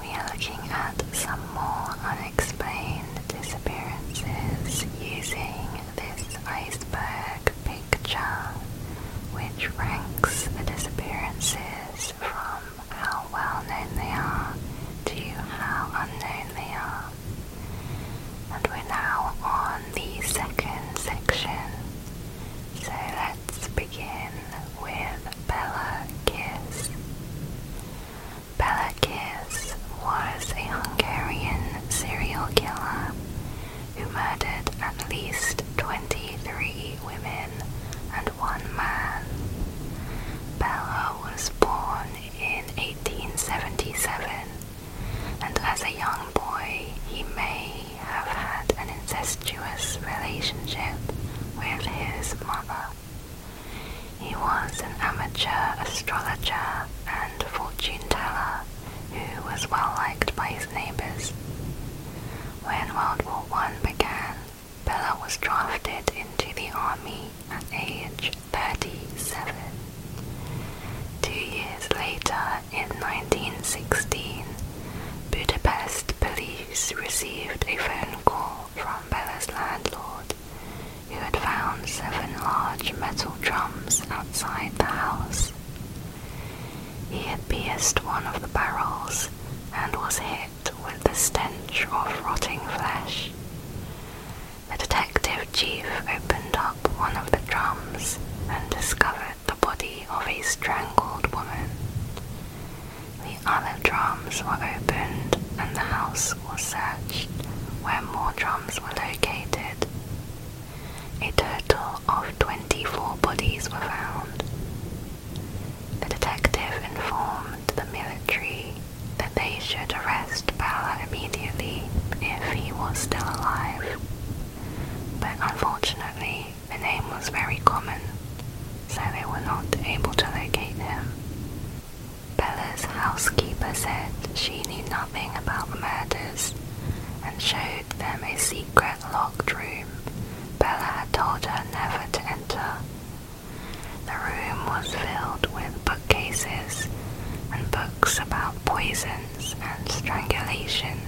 We are looking at some more unexplained disappearances using this iceberg picture, which ranks the disappearances from how well known they are to how unknown they are. And we're now on the second section. So let's begin with Bela Kiss. Bela Kiss was a Hungarian serial killer who murdered at least 23 women and one man. Bella was born in 1877, and as a young boy, he may have had an incestuous relationship with his mother. He was an amateur astrologer and fortune teller who was well liked by his neighbours. When World War I began, Bella was drafted into the army at age 37. Two years later, in 1916, Budapest police received a phone call from Bella's landlord, who had found seven large metal drums outside the house. He had pierced one of the barrels and was hit with the stench of rotting flesh. The detective chief opened up one of the drums and discovered the body of a strangled woman. The other drums were opened and the house was searched, where more drums were located. A total of 24 bodies were found. The detective informed the military that they should arrest Bala immediately if he was still alive. But unfortunately, the name was very common, so they were not able to locate him. Bella's housekeeper said she knew nothing about the murders and showed them a secret locked room Bella had told her never to enter. The room was filled with bookcases and books about poisons and strangulation.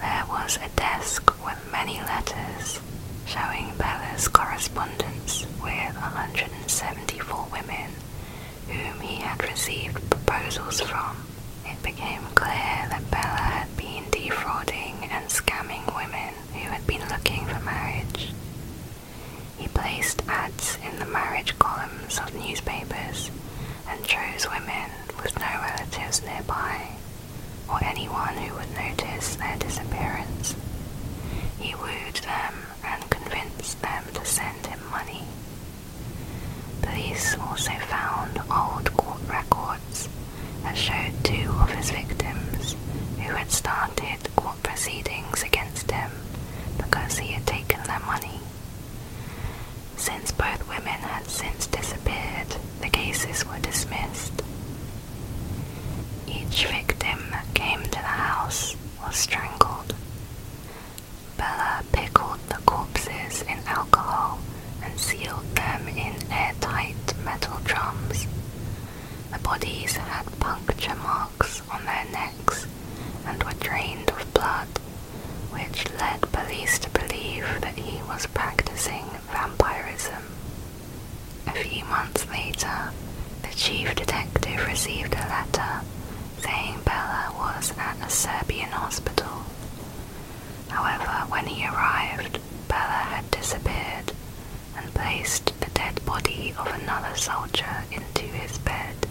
There was a desk book many letters showing Bella's correspondence with 174 women whom he had received proposals from. It became clear that Bella had been defrauding and scamming women who had been looking for marriage. He placed ads in the marriage columns of newspapers and chose women with no relatives nearby or anyone who would notice their disappearance. He wooed them and convinced them to send him money. Police also found old court records that showed two of his victims who had started court proceedings against him because he had taken their money. Since both women had since disappeared, the cases were dismissed, each victim that came to the house was strangled. Bella pickled the corpses in alcohol and sealed them in airtight metal drums. The bodies had puncture marks on their necks and were drained of blood, which led police to believe that he was practicing vampirism. A few months later, the chief detective received a letter saying Bella was at a Serbian hospital. However, when he arrived, Bella had disappeared and placed the dead body of another soldier into his bed.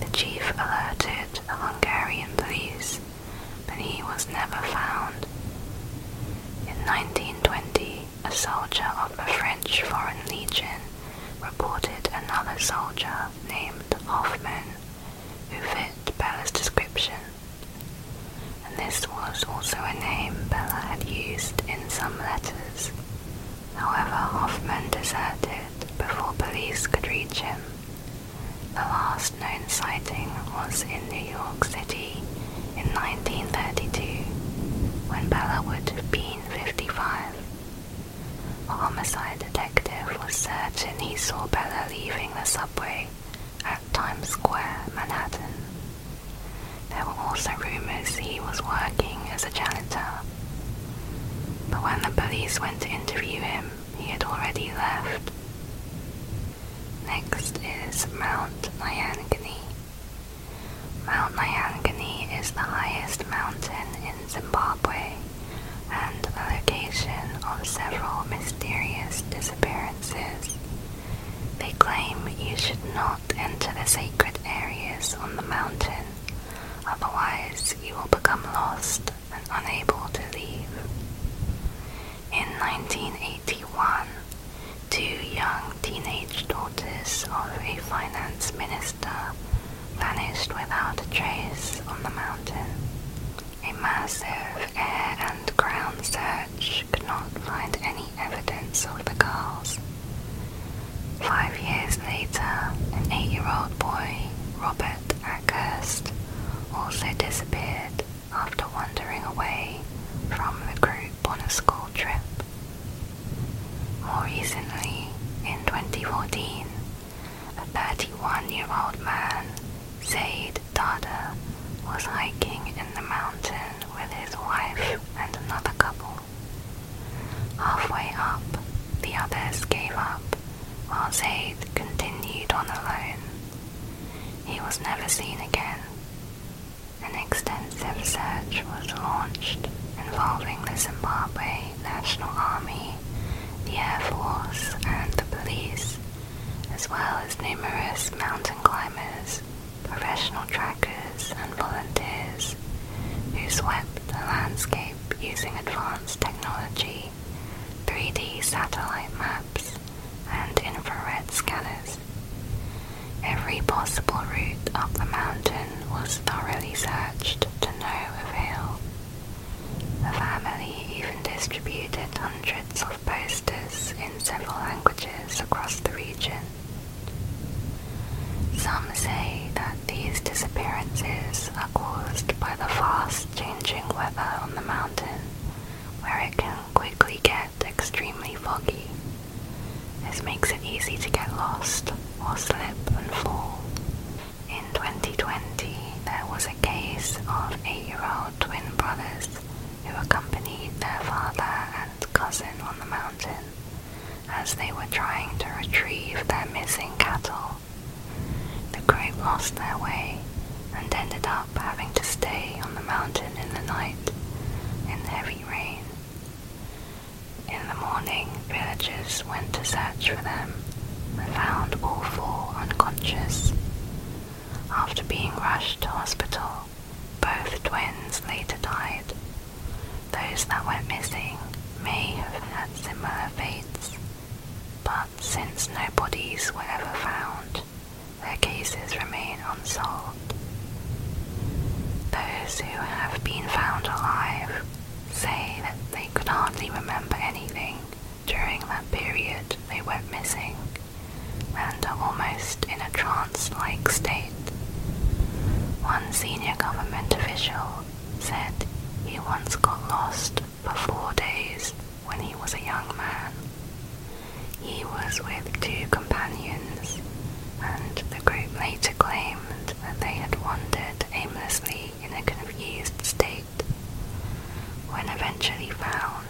The chief alerted the Hungarian police but he was never found. In 1920, a soldier of the French Foreign Legion reported another soldier named Hoffman who fit Bella's description, and this was also a name Bella had used in some letters. However, Hoffman deserted before police could reach him. The last known sighting was in New York City in 1932 when Bella would have been 55. A homicide detective was certain he saw Bella leaving the subway at Times Square, Manhattan. There were also rumors he was working as a janitor. But when the police went to interview him, he had already left. Next is Mount Nyangani. Mount Nyangani is the highest mountain in Zimbabwe and the location of several mysterious disappearances. They claim you should not enter the sacred areas on the mountain, otherwise, you will become lost and unable to leave. In 1981, two young teenage daughters of a finance minister vanished without a trace on the mountain. A massive air and ground search could not find any evidence of the girls. Five years later, an eight-year-old boy, Robert Ackhurst, also disappeared after wandering away from the group on a school trip. More recently, in 2014, a 31-year-old man, Zaid Dada, was hiking in the mountain with his wife and another couple. Halfway up, the others gave up, while Zaid continued on alone. He was never seen again. An extensive search was launched involving the Zimbabwe National Army, the Air Force, and the police, as well as numerous mountain climbers, professional trackers, and volunteers who swept the landscape using advanced technology, 3D satellite maps, and infrared scanners. Every possible route up the mountain was thoroughly searched to no avail. The family even distributed hundreds of posters in several languages across the region. Some say that these disappearances are caused by the fast changing weather on the mountain, where it can quickly get extremely foggy. This makes it easy to get lost or slip and fall. In 2020, there was a case of eight-year-old twin brothers who accompanied their father and cousin on the mountain as they were trying to retrieve their missing cattle. The group lost their way and ended up having to stay on the mountain in the night in heavy rain. In the morning, villagers went to search for them and found all four unconscious. After being rushed to hospital, both twins later died. Those that went missing may have had similar fates, but since no bodies were ever found, their cases remain unsolved. Those who have been found alive say that they could hardly remember anything during that period they went missing and are almost in a trance like state. One senior government official said he once got lost for four days when he was a young man. He was with two companions, and the group later claimed that they had wandered aimlessly in a confused state. When eventually found,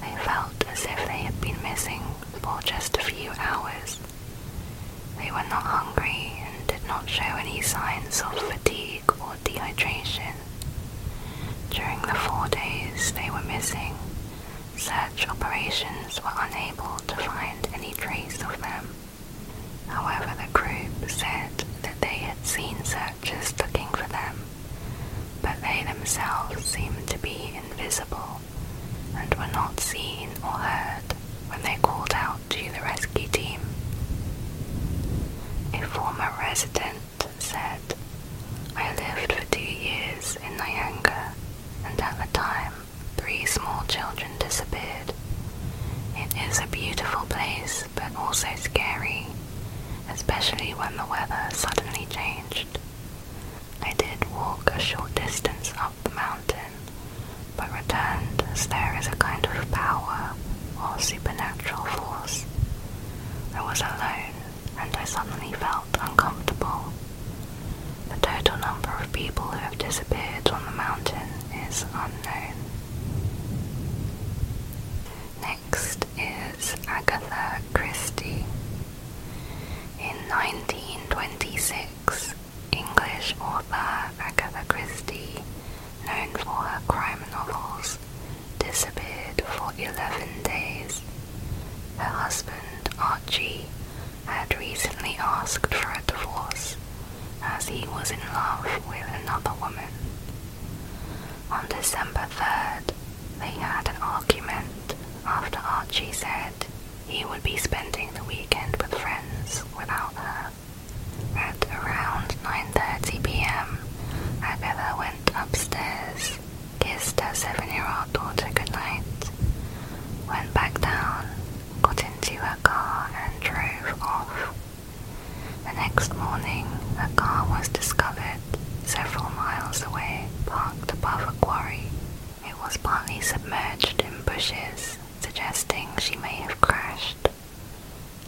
they felt as if they had been missing for just a few hours. They were not hungry and did not show any signs of fatigue or dehydration. During the four days they were missing, search operations were unable to find any trace of them. However, the group said that they had seen searchers looking for them, but they themselves seemed to be invisible and were not seen or heard when they called out to the rescue team. A former resident and said, I lived for two years in Nyanga, and at the time, three small children disappeared. It is a beautiful place, but also scary, especially when the weather suddenly changed. I did walk a short distance up the mountain, but returned as there is a kind of power or supernatural force. I was alone and I suddenly felt uncomfortable. The total number of people who have disappeared on the mountain is unknown. Next is Agatha Christie. In 1926, English author Agatha Christie, known for her crime novels, disappeared for 11 days. Her husband, Archie, had recently asked for a divorce as he was in love with another woman. On December 3rd, they had an argument after Archie said he would be spending the weekend with friends without her. At around 9.30pm, Agatha went upstairs kissed her seven-year-old daughter goodnight, went back down, got into her car and drove off. The next morning, her car was discovered several miles away, parked above a quarry. It was partly submerged in bushes, suggesting she may have crashed.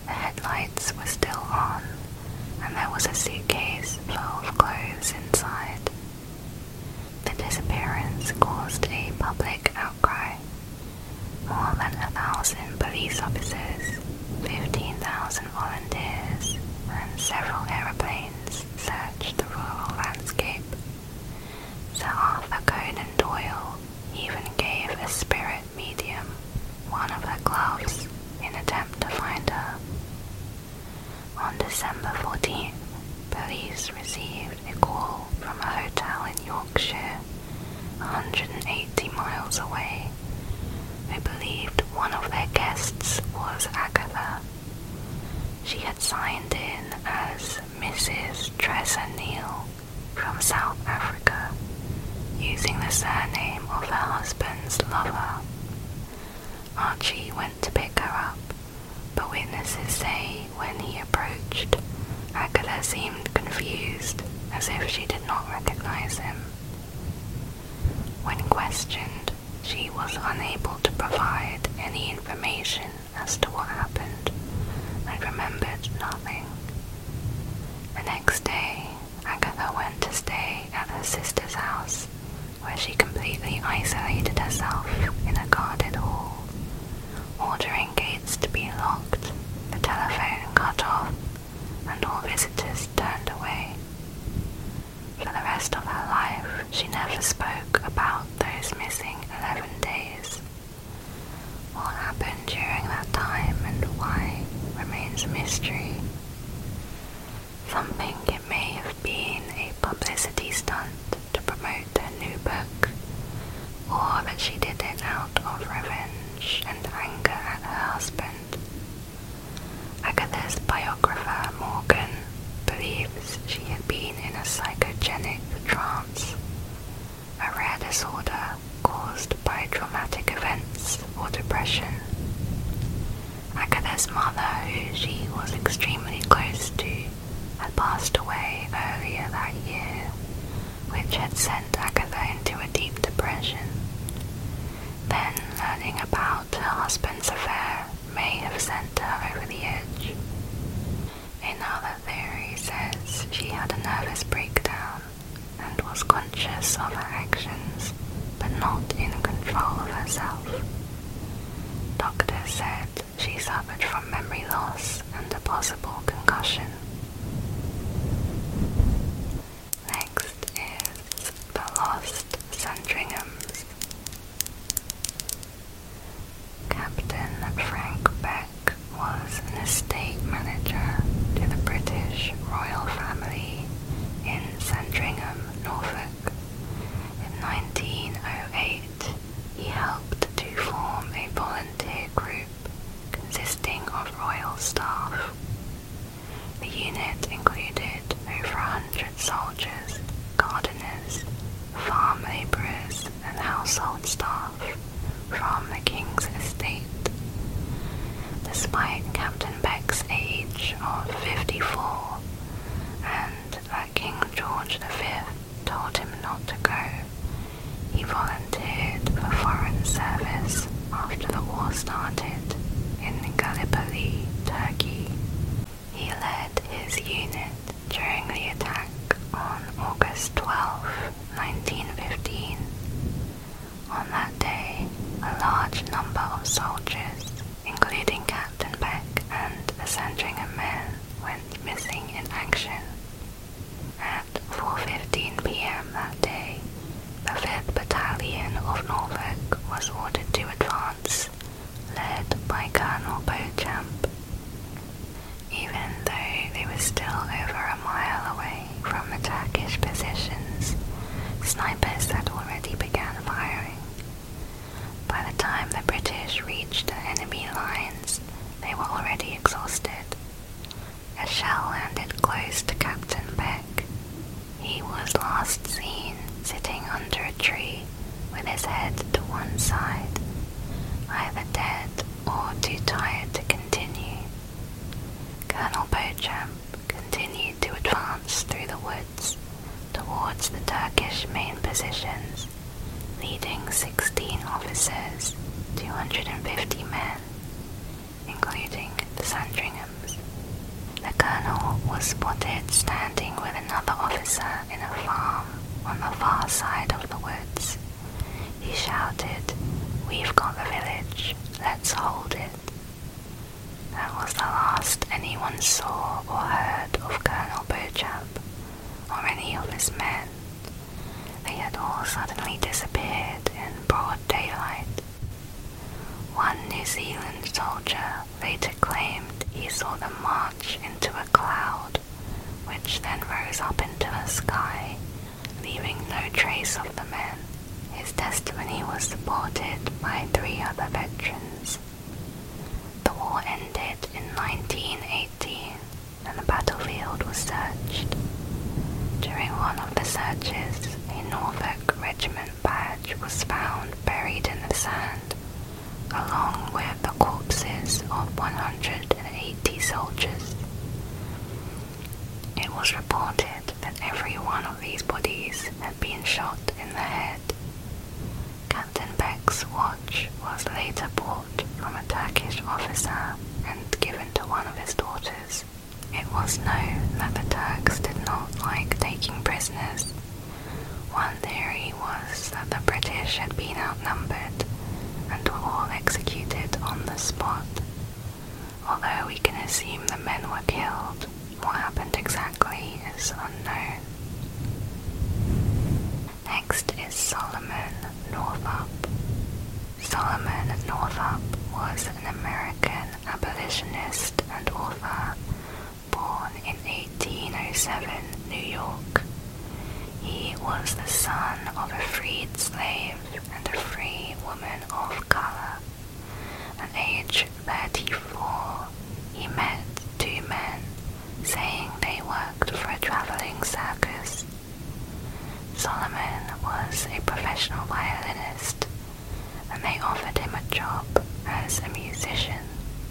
The headlights were still on, and there was a suitcase full of clothes inside. The disappearance caused a public outcry. More than a thousand police officers, 15,000 volunteers, and several aeroplanes searched the rural landscape. Sir Arthur Conan Doyle even gave a spirit medium one of her clothes in attempt to find her. On December 14th, police received a call from a hotel in Yorkshire, 180 miles away, who believed one of their guests was Agatha. She had signed in as Mrs. Tressa Neal from South Africa, using the surname of her husband's lover. Archie went to pick her up, but witnesses say when he approached, Agatha seemed confused, as if she did not recognize him. When questioned, she was unable to provide any information as to what happened and remembered nothing. The next day, Agatha went to stay at her sister's house where she completely isolated herself in a guarded hall, ordering gates to be locked, the telephone cut off, and all visitors turned away. For the rest of her life, she never spoke about those missing 11 days. What happened during that time and why remains a mystery. Something it may have been a publicity stunt to promote her new book, or that she did it out of revenge and anger at her husband. Agatha's biographer Morgan believes she had been in a psychogenic trance, a rare disorder caused by traumatic events or depression. Agatha's mother, who she was extremely close to, had passed away earlier that year, which had sent Agatha into a deep depression. Then, learning about her husband's affair may have sent her over the edge. Another theory says she had a nervous breakdown and was conscious of her actions but not in control of herself. Doctors said she suffered from memory loss and a possible concussion. Next is The Lost Sandringham's. Captain Frank Beck was an estate manager to the British royal family in Sandringham Norfolk. In 1908, he helped to form a volunteer group consisting of royal staff. The unit included over a hundred soldiers, gardeners, farm labourers, and household staff from the king's estate. Despite Captain max age of 54, and that uh, King George V told him not to go. He volunteered for foreign service after the war started in Gallipoli, Turkey. He led his unit during the attack on August 12, 1915. On that day, a large number of soldiers, including Captain Beck and a of men, went missing in action. At 4.15 pm that day, the 5th Battalion of Norfolk was ordered to advance, led by Colonel Beauchamp. Even though they were still over a mile away from the Turkish positions, snipers had already been began firing. By the time the British reached the enemy lines, they were already exhausted. A shell landed close to Captain Beck. He was last seen sitting under a tree with his head to one side, either dead or too tired to continue. Colonel Beauchamp continued to advance through the woods towards the Turkish main positions, leading 16 officers, 250 men, including the Sandringhams. The colonel was spotted standing with another officer in a farm on the far side of the woods. He shouted, We've got the village, let's hold it. That was the last anyone saw or heard of Colonel Beauchamp or any of his men. They had all suddenly disappeared in broad daylight. One New Zealand soldier later claimed he saw them march into a cloud, which then rose up into the sky, leaving no trace of the men. His testimony was supported by three other veterans. The war ended in 1918 and the battlefield was searched. During one of the searches, a Norfolk Regiment badge was found buried in the sand, along with the corpses of 180 soldiers. It was reported that every one of these bodies had been shot in the head. Captain Beck's watch was later bought from a Turkish officer and given to one of his daughters. It was known that the Turks did not like taking prisoners. One theory was that the British had been outnumbered and were all executed on the spot. Although we can assume the men were killed, what happened exactly is unknown. Next is Solomon Northup. Solomon Northup was an American abolitionist and author born in 1807, New York. He was the son of a freed slave and a free woman of color. At age 34, he met two men saying they worked for a traveling circus. Solomon was a professional violinist, and they offered him a job as a musician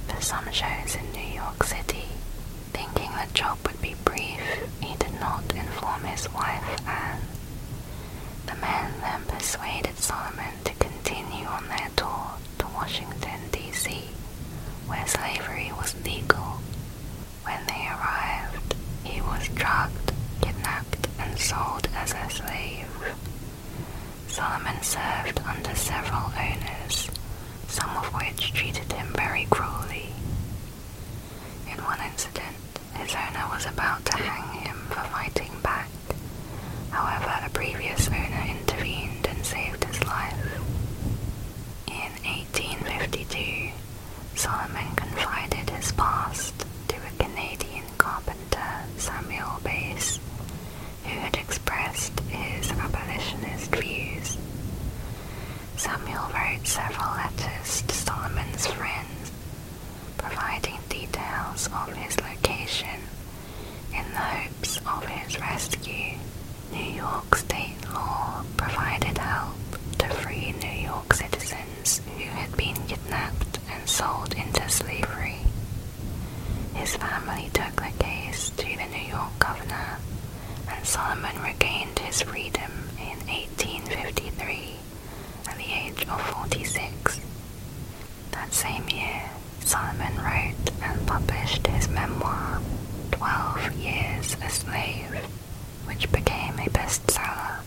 for some shows in New York City. Thinking the job would be brief, he did not inform his wife Anne. The men then persuaded Solomon to continue on their tour to Washington, D.C., where slavery was legal. When they arrived, he was drugged, kidnapped, and sold as a slave. Solomon served under several owners, some of which treated him very cruelly. In one incident, his owner was about to hang him for fighting back, However, a previous owner intervened and saved his life. In 1852, Solomon confided his past to a Canadian carpenter, Samuel Bass, who had expressed his abolitionist views. Samuel wrote several letters to Solomon's friends, providing details of his location in the hopes of his rescue. New York state law provided help to free New York citizens who had been kidnapped and sold into slavery. His family took the case to the New York governor, and Solomon regained his freedom in 1853 at the age of 46. That same year, Solomon wrote and published his memoir, Twelve Years a Slave, which became a bestseller.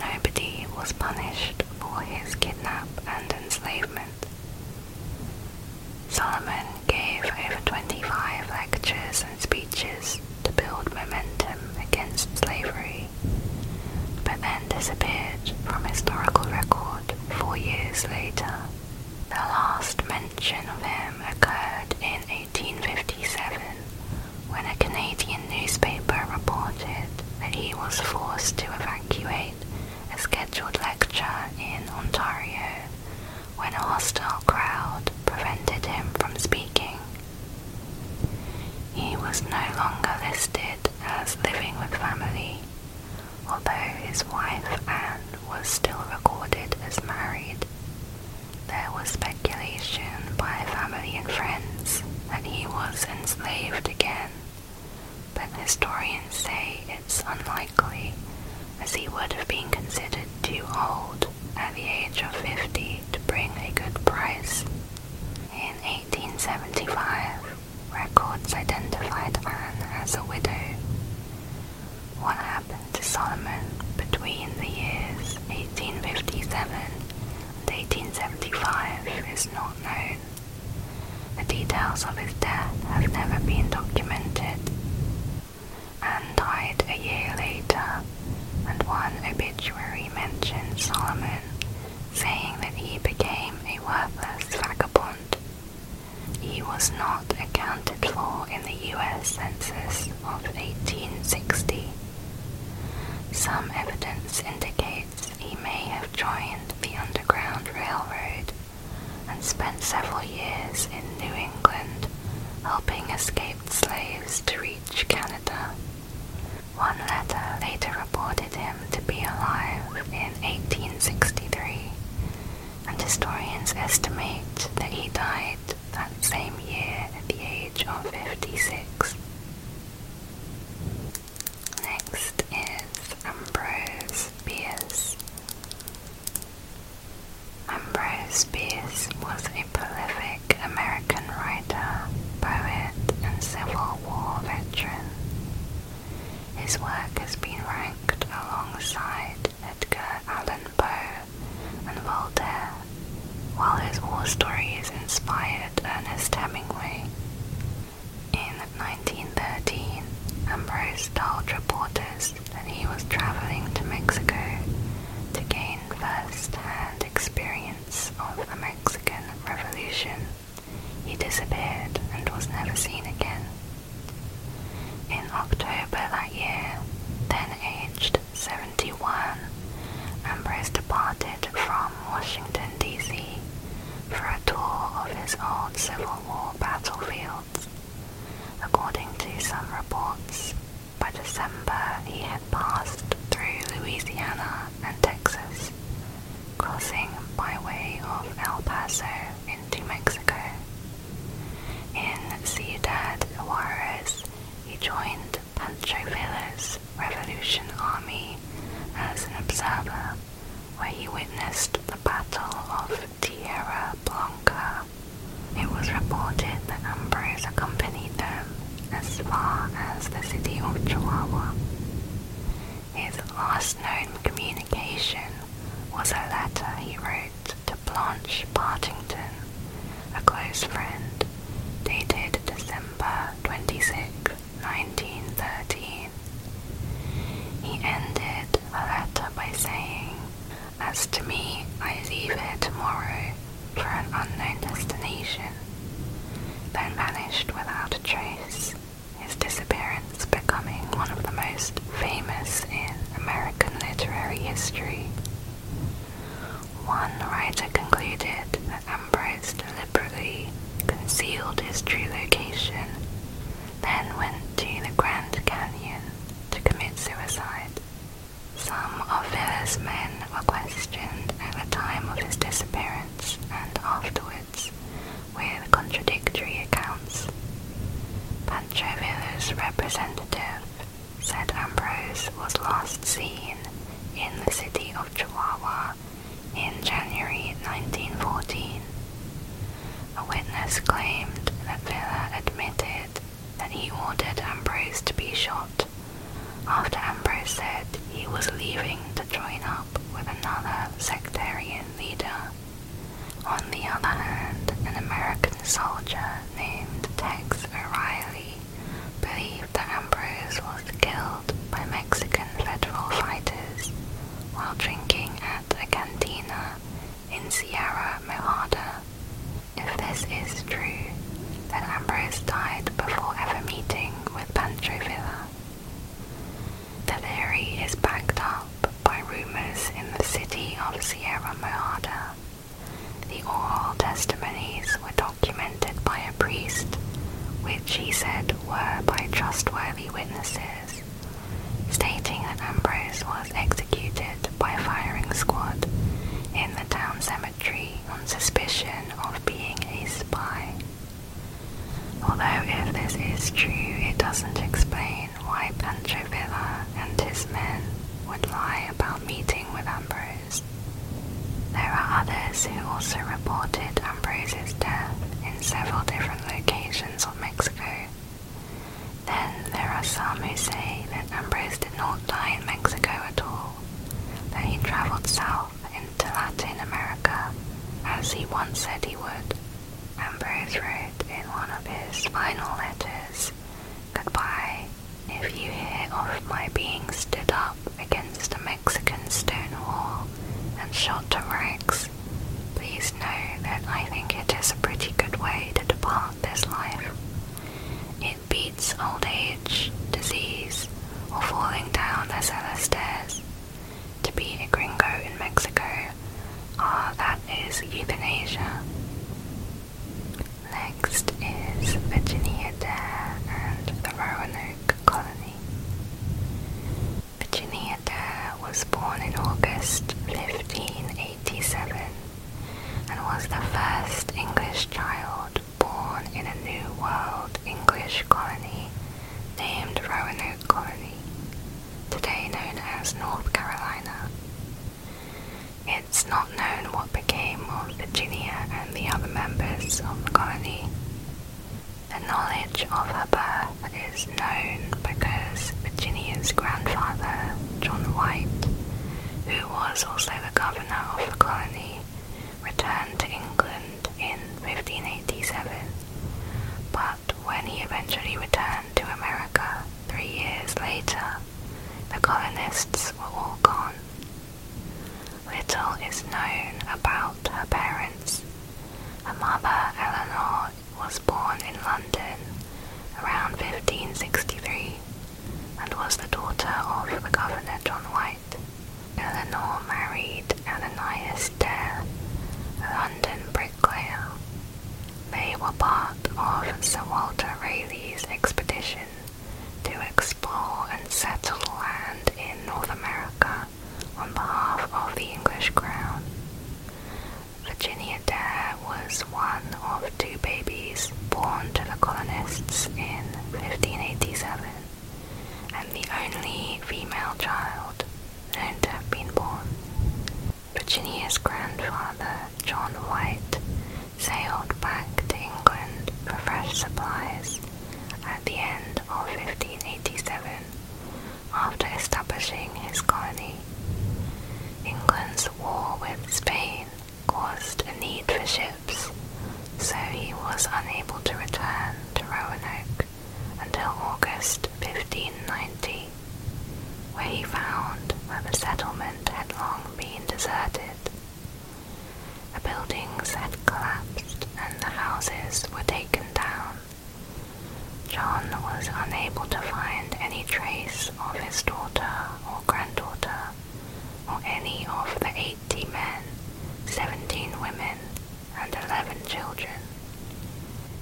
Nobody was punished for his kidnapping and enslavement. Solomon gave over 25 lectures and speeches to build momentum against slavery but then disappeared from historical record four years later. The last mention of him occurred in 1857 when a Canadian newspaper reported that he was forced to evacuate a scheduled lecture in Ontario when a hostile crowd prevented him from speaking. He was no longer listed as living with family, although his wife Anne was still recorded as married. There was speculation by family and friends that he was enslaved again, but historians say it's unlikely, as he would have been considered too old at the age of 50 to bring a good price. In 1875, Records identified Anne as a widow. What happened to Solomon between the years 1857 and 1875 is not known. The details of his death have never been documented. Anne died a year later, and one obituary mentions Solomon saying that he became a worthless vagabond. He was not accounted for in the US Census of 1860. Some evidence indicates he may have joined the Underground Railroad and spent several years in New England helping escaped slaves to reach Canada. One letter later reported him to be alive in 1863, and historians estimate that he died that same year at the age of 56. Next is Ambrose Bierce. Ambrose Bierce was a prolific American writer writer, poet, and Civil War veteran. His work has been ranked alongside Edgar Allan Poe and Voltaire, while his war stories inspired Ernest Hemingway. In 1913, Ambrose told reporters that he was traveling to Mexico to gain first-hand experience of the Mexican Revolution. He disappeared and was never seen again. In October that year, then aged 71, Ambrose departed from Washington, D.C. for a tour of his old Civil War battlefields. According to some reports, by December he had passed through Louisiana and Texas crossing by way of El Paso into Mexico. In Ciudad Juarez, he joined Pancho Villa's Revolution Army as an observer, where he witnessed the Battle of Tierra Blanca. It was reported that Ambrose accompanied them as far as the city of Chihuahua. His last known communication was a letter he wrote to Blanche Partington, a close friend, dated December 26, 1913. He ended the letter by saying, As to me, I leave it tomorrow for an unknown destination then vanished without a trace, his disappearance becoming one of the most famous in American literary history. One writer concluded that Ambrose deliberately concealed his true location, then went to the Grand Canyon to commit suicide. Some of Villa's men were questioned at the time of his disappearance and afterwards with contradictory accounts. Panchovilla's representative said Ambrose was last seen in the city of Chihuahua in January 1914. A witness claimed that Villa admitted that he ordered Ambrose to be shot after Ambrose said he was leaving to join up with another sectarian leader. On the other hand, an American soldier named Tex O'Reilly believed that Ambrose was killed by Mexican federal fighters while drinking at a cantina in Sierra Nevada. If this is true, then Ambrose died before ever meeting with Pancho Villa. The theory is backed up by rumors in the city of Sierra Mojada. The oral testimonies were documented by a priest, which he said were by trustworthy witnesses, stating that Ambrose was executed by a firing squad in the town cemetery on suspicion of being a spy. Although if this is true, it doesn't explain why Pancho Villa and his men would lie about meeting with Ambrose. There are others who also reported Ambrose's death in several different locations of Mexico. Then there are some who say that Ambrose did not die in Mexico at all, that he travelled south into Latin America, as he once said he would. Ambrose wrote in one of his final letters, Goodbye, if you hear of my being stood up against a Mexican stone wall and shot to rags, please know that I think it is a pretty good way to depart this life. It beats old age, disease, or falling down the cellar stairs, to be a gringo in Mexico, ah, that is euthanasia. Next is Virginia Dare and the Roanoke Colony. Virginia Dare was born in August 1587 and was the first English child born in a New World English colony named Roanoke Colony, today known as North Carolina. It's not known what became of Virginia and the other members of the colony. The knowledge of her birth is known because Virginia's grandfather, John White, who was also the governor of the colony, returned to England in 1587, but when he eventually returned to America three years later, the colonists were all gone. Little is known about her parents. Her mother, Eleanor, was born in London around 1563 and was the daughter of the Governor John White. Eleanor married Ananias Dare, a London bricklayer. They were part of Sir Walter Raleigh's expedition to explore and settle land in North America on behalf of the English crown. Virginia Dare was one of two babies born to the colonists in 1587 and the only female child known to have been born. Virginia's grandfather, John White, sailed back to England for fresh supplies at the end of 1587 after establishing his colony. England's war with Spain caused a need for ships so he was unable to return to Roanoke until August 1590, where he found that the settlement had long been deserted. The buildings had collapsed and the houses were taken down. John was unable to find any trace of his daughter or granddaughter, or any of the eighty men, seventeen women, and 11 children.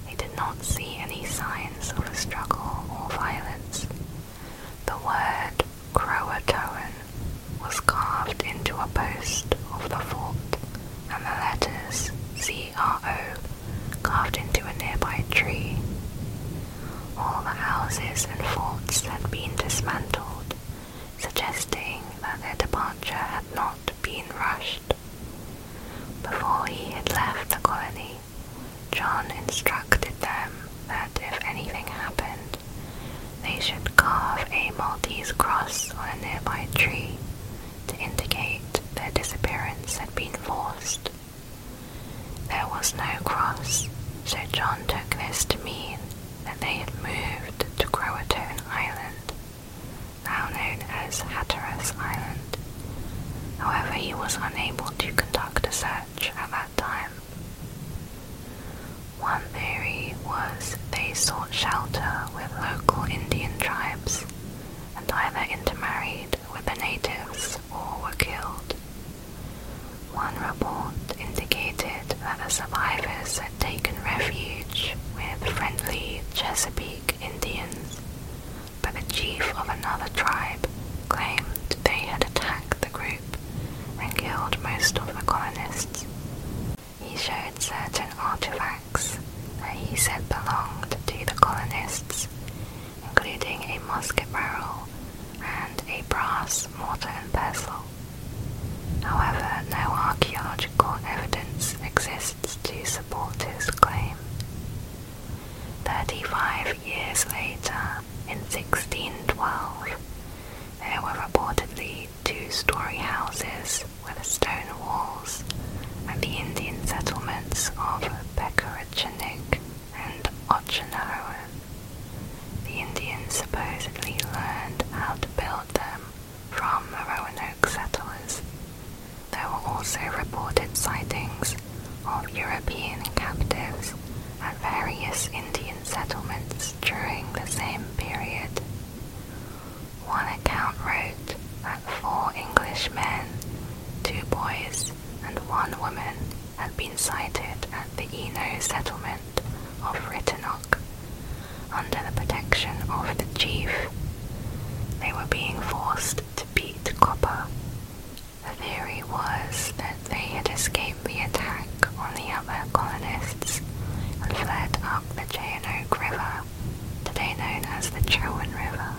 He did not see any signs of a struggle or violence. The word Croatoan was carved into a post of the fort, and the letters CRO carved into a nearby tree. All the houses and forts had been dismantled, suggesting that their departure had not been rushed. Before he had left the colony, John instructed them that if anything happened, they should carve a Maltese cross on a nearby tree to indicate their disappearance had been forced. There was no cross, so John took this to mean that they had moved to Croatoan Island, now known as Hatteras Island. However, he was unable to conduct a search at that time. One theory was they sought shelter with local Indian tribes and either intermarried with the natives or were killed. One report indicated that the survivors had taken refuge with friendly Chesapeake Indians, but the chief of another tribe claimed they had attacked the group and killed most of the colonists. He showed certain artifacts that he said belonged to the colonists, including a musket barrel and a brass mortar and pestle. However, no archaeological evidence exists to support his claim. Thirty-five years later, in 1612, there were reportedly two-story houses with stone walls and the Indian settlements of Bekarachinik and Ochinohoan. The Indians supposedly learned how to build them from the Roanoke settlers. There were also reported sightings of European captives at various Indian settlements during the same period. One account wrote that four Englishmen, two boys, and one woman had been sighted at the Eno settlement of Rittenhock under the protection of the chief. They were being forced to beat copper. The theory was that they had escaped the attack on the other colonists and fled up the Cheyenoak River, today known as the Chowan River.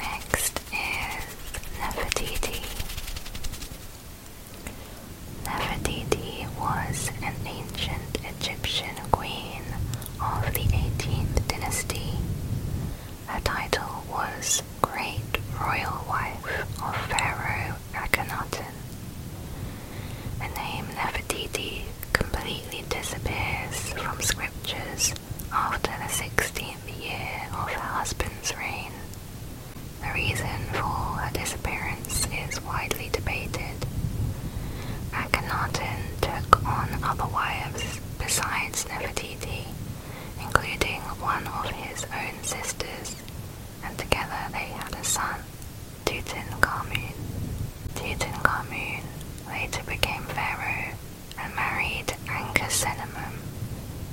Next is Nefertiti. Nefertiti was an ancient Egyptian queen of the 18th dynasty. Her title was Great Royal Wife of Pharaoh Akhenaten. The name Nefertiti completely disappears from scriptures after the 16th year of her husband's reign. The reason for her disappearance is widely debated. Akhenaten took on other wives besides Nefertiti, including one of his own sisters, and together they had a son, Tutankhamun. Tutankhamun later became pharaoh and married Ankesenamun,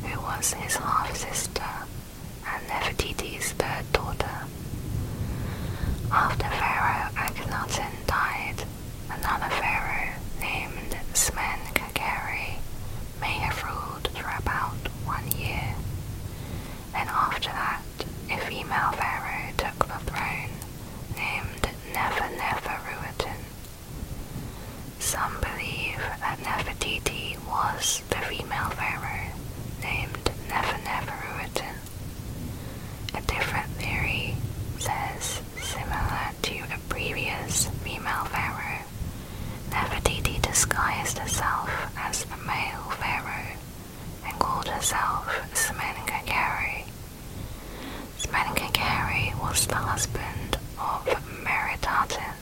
who was his half-sister and Nefertiti's third daughter. After Pharaoh Akhenaten died, another pharaoh named Smenkhkeri may have ruled for about one year, and after that a female pharaoh took the throne named Neferneferuaten. Some believe that Nefertiti was the female pharaoh named Neferneferuaten. A different theory says, similar to a previous female pharaoh, Nefertiti disguised herself as a male pharaoh and called herself Smenkhkare. Smenkhkare was the husband of Meritatu,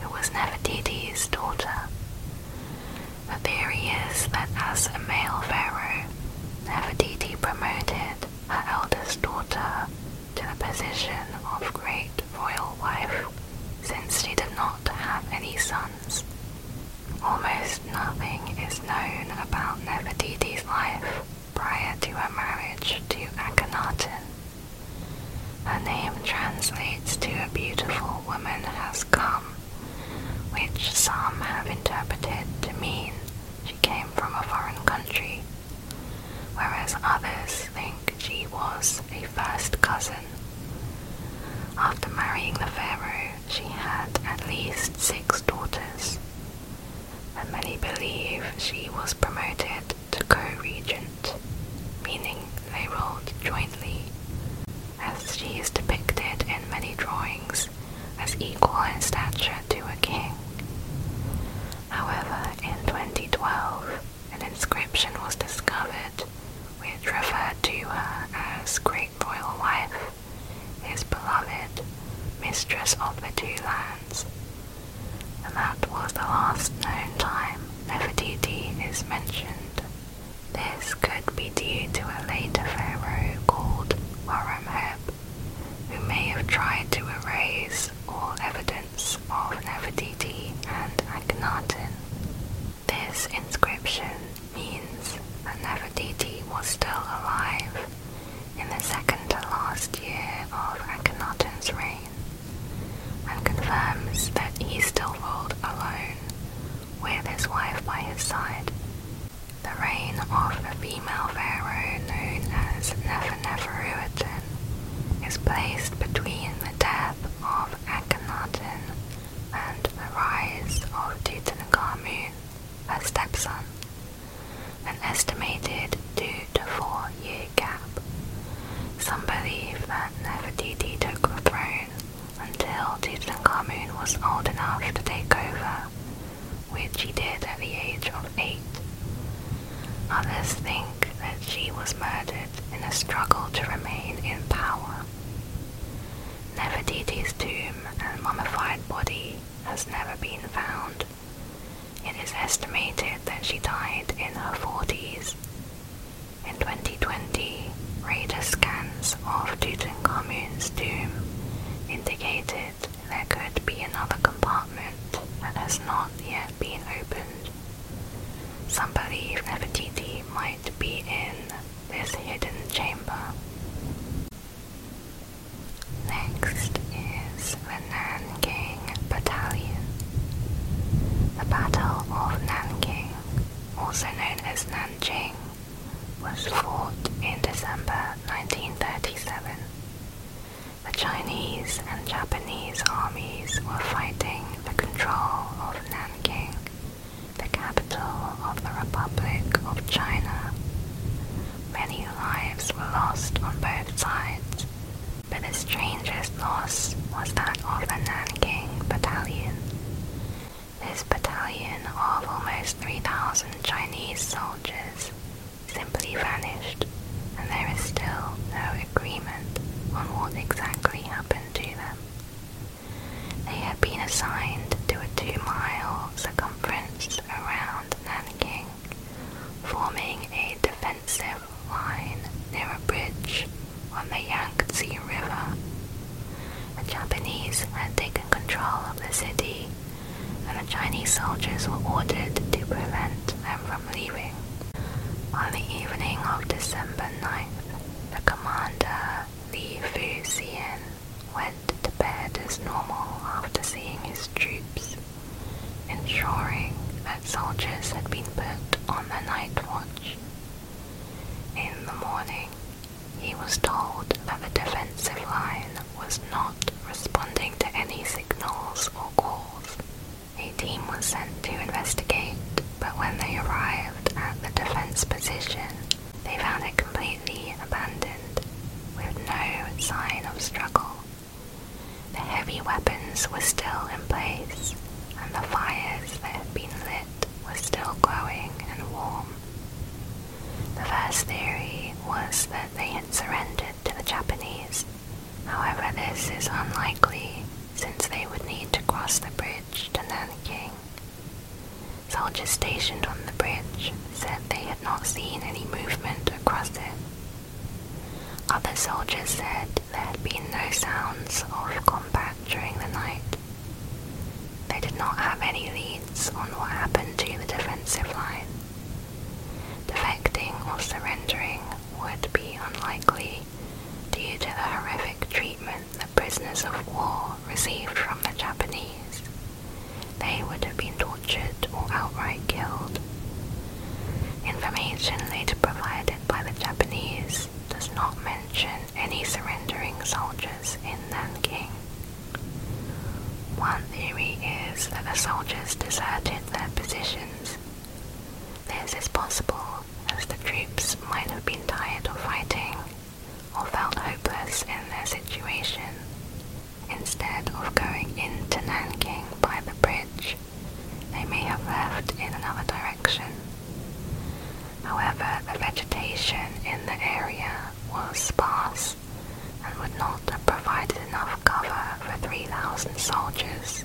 who was Nefertiti's daughter. The theory is that as a male pharaoh, Nefertiti promoted her eldest daughter to the position of great royal wife since she did not have any sons. Almost nothing is known about Nefertiti's life prior to her marriage to Akhenaten. Her name translates to a beautiful woman has come, which some have interpreted to mean she came from a foreign country, whereas others think she was a first cousin. After marrying the pharaoh, she had at least six daughters, and many believe she was promoted co-regent, meaning they ruled jointly, as she is depicted in many drawings as equal in stature to a king. However, in 2012, an inscription was discovered which referred to her as Great Royal Wife, his beloved, mistress of the two lands, and that was the last known time Nefertiti is mentioned. This could be due to a later pharaoh called Horemheb, who may have tried to erase all evidence of Nefertiti and Akhenaten. This inscription means that Nefertiti was still alive in the second to last year of Akhenaten's reign and confirms that he still ruled alone, with his wife by his side. The reign of the female pharaoh known as Neferneferuaten is placed between the death of Akhenaten and the rise of Tutankhamun, her stepson, an estimated two to four years salary Some believe that Nefertiti took the throne until Tutankhamun was old enough to take over, which he did at the age of eight. Others think that she was murdered in a struggle to remain in power. Nefertiti's tomb and mummified body has never been found. It is estimated that she died in her 40s in 2020, radar scans of Tutankhamun's tomb indicated there could be another compartment that has not yet been opened. Some believe Nefertiti might be in this hidden chamber. Next is the Nan Battalion. The Battle of Nanking, also known as Nanjing, was fought in December 1937. The Chinese and Japanese armies were fighting for control of Nanking, the capital of the Republic of China. Many lives were lost on both sides, but the strangest loss was that of the Nanking Battalion. This battalion of almost 3,000 Chinese soldiers simply vanished, and there is still no agreement on what exactly happened to them. They had been assigned to a two-mile circumference around Nanking, forming a defensive line near a bridge on the Yangtze River. The Japanese had taken control of the city, and the Chinese soldiers were ordered to prevent them from leaving. On the evening of December 9th, the commander Li Fuxian went to bed as normal after seeing his troops ensuring that soldiers had been put on the night watch. In the morning, he was told that the defensive line was not responding to any signals or calls. A team was sent to investigate, but when they arrived at the defense position, they found it completely abandoned, with no sign of struggle. The heavy weapons were still in place, and the fires that had been lit were still glowing and warm. The first theory was that they had surrendered to the Japanese. However, this is unlikely since they would need to cross the bridge to Nanjing. Soldiers stationed on the bridge said they had not seen any movement across it other soldiers said there had been no sounds of combat during the night. They did not have any leads on what happened to the defensive line. Defecting or surrendering would be unlikely due to the horrific treatment the prisoners of war received from the Japanese. They would have been tortured or outright killed, Information later provided by the Japanese does not mention any surrendering soldiers in Nanking. One theory is that the soldiers deserted their positions. This is possible as the troops might have been tired of fighting or felt hopeless in their situation. Instead of going into Nanking by the bridge, they may have left in another direction. However, the vegetation in the area was sparse and would not have provided enough cover for 3,000 soldiers.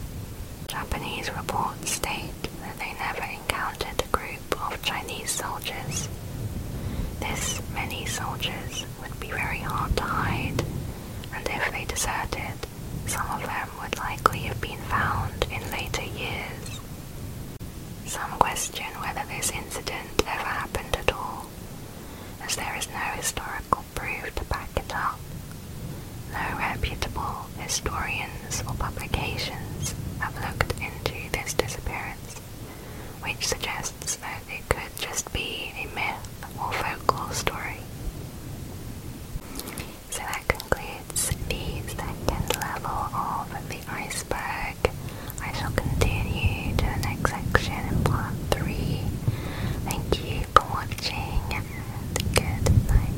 Japanese reports state that they never encountered a group of Chinese soldiers. This many soldiers would be very hard to hide and if they deserted, some of them would likely have been found in later years. Some question whether this incident ever happened at all, as there is no historical proof to back it up. No reputable historians or publications have looked into this disappearance, which suggests that it could just be a myth or folklore story. So that concludes the second level of the iceberg. I shall continue to the next section part 3. Thank you for watching good night.